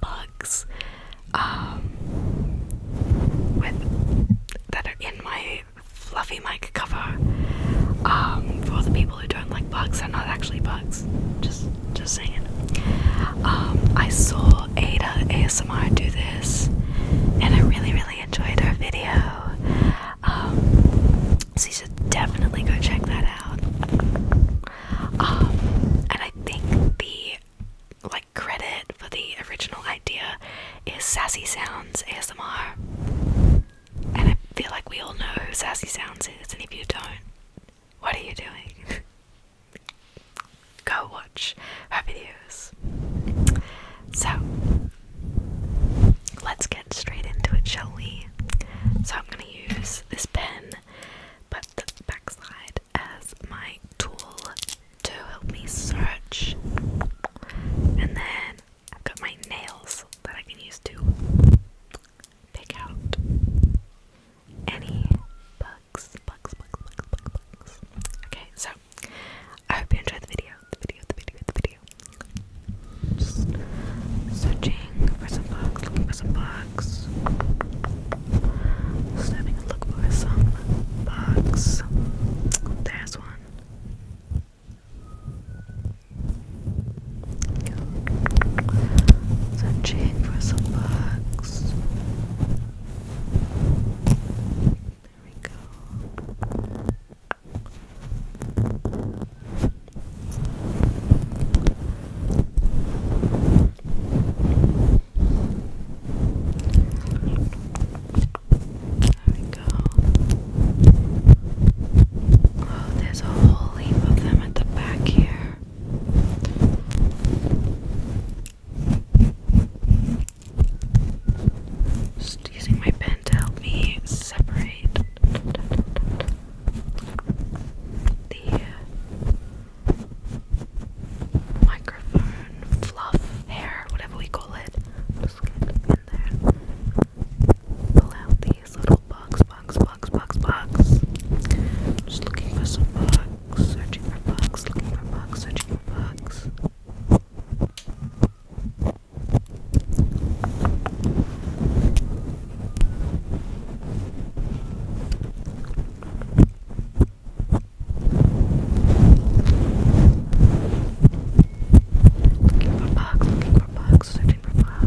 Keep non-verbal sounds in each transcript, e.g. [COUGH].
bugs um, that are in my fluffy mic cover. Um, for the people who don't like bugs, they're not actually bugs. Just, just saying. Um, I saw Ada ASMR do this, and I really, really enjoyed her video. Um, so you should definitely go check that out. Um, and I think the like credit for the original idea is Sassy Sounds ASMR. And I feel like we all know who Sassy Sounds is, and if you don't, what are you doing? [LAUGHS] Go watch her videos. So, let's get straight into it, shall we? So, I'm going to use this pen, but the backside as my tool to help me search. And then I've got my nails that I can use to pick out any bugs, bugs, bugs, bugs, bugs, bugs. Okay, so I hope you enjoyed the video, the video, the video, the video. Just searching looking for some bugs, looking for some bugs. Just a look for some bugs. There's one. Searching for some bugs. There we go. There we go. Oh, there's a whole heap of them at the back here. Just using my pen to help me separate the microphone fluff hair, whatever we call it. Just get in there. Pull out these little bugs, bugs, bugs, bugs, bugs. Just looking for some bugs, searching for bugs, looking for bugs, searching for bugs. Looking for bugs, looking for bugs, searching for bugs.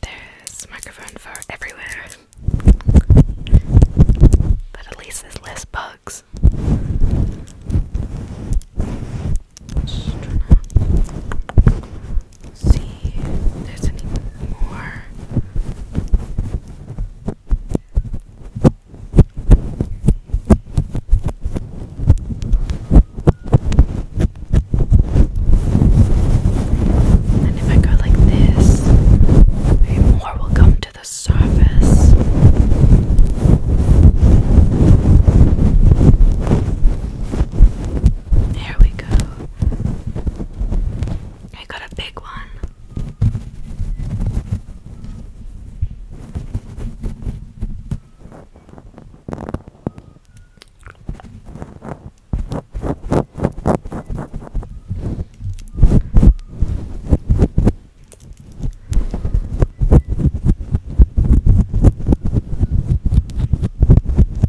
There's microphone for everywhere. But at least there's less bugs see there's any more. And if I go like this, maybe more will come to the surface. There we go. I got a big one.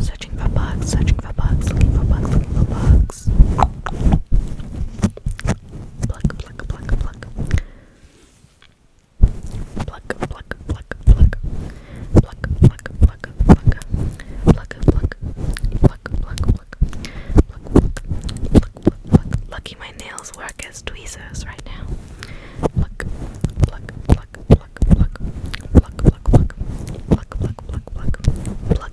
Searching for bugs, searching for bugs, looking for bugs, looking for bugs. Pluck, pluck, pluck, pluck. Pluck, pluck, pluck, pluck. Pluck, pluck, pluck, pluck. Pluck, pluck, pluck, pluck, pluck. Pluck, pluck, pluck, pluck, pluck. Lucky my nails work as tweezers right now. Pluck, pluck, pluck, pluck, pluck. Pluck, pluck, pluck. Pluck, pluck, pluck, pluck. Pluck. Pluck,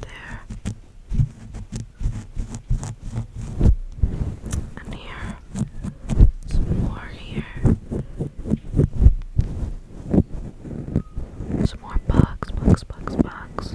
There. And here. Some more here. Some more bugs, bugs, bugs, bugs.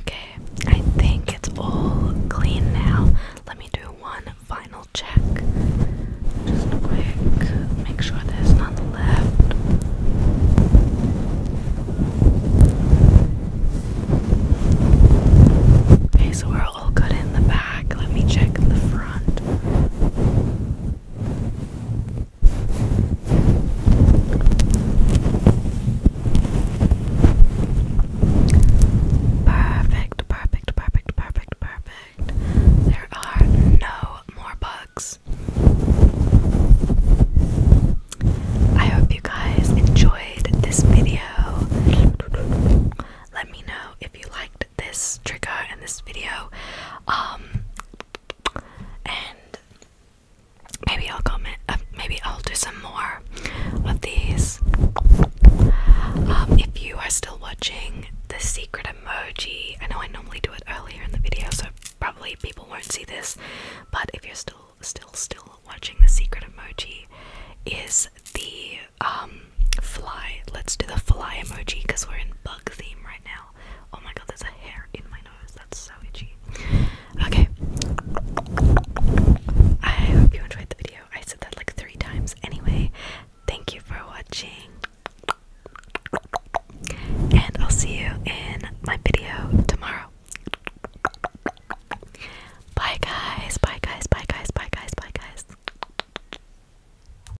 Okay, I think it's all clean now. Let me do one final check. Just quick, make sure there's none left. Okay, so we're all good in the back. Let me check the front. Perfect, perfect, perfect, perfect, perfect. There are no more bugs. I hope you guys enjoyed this video. Let me know if you liked this trigger and this video. Um and maybe I'll comment. Uh, maybe I'll do some more of these. Um, if you are still watching the secret emoji, I know I normally do it earlier in the video, so probably people won't see this. But if you're still, still, still watching, the secret emoji is the um fly. Let's do the fly emoji because we're in bug theme right now. Oh my god, there's a hair in my nose. That's so itchy. Okay. I hope you enjoyed the video. I said that like three times. Anyway, thank you for watching. And I'll see you in my video tomorrow. Bye guys, bye guys, bye guys, bye guys, bye guys.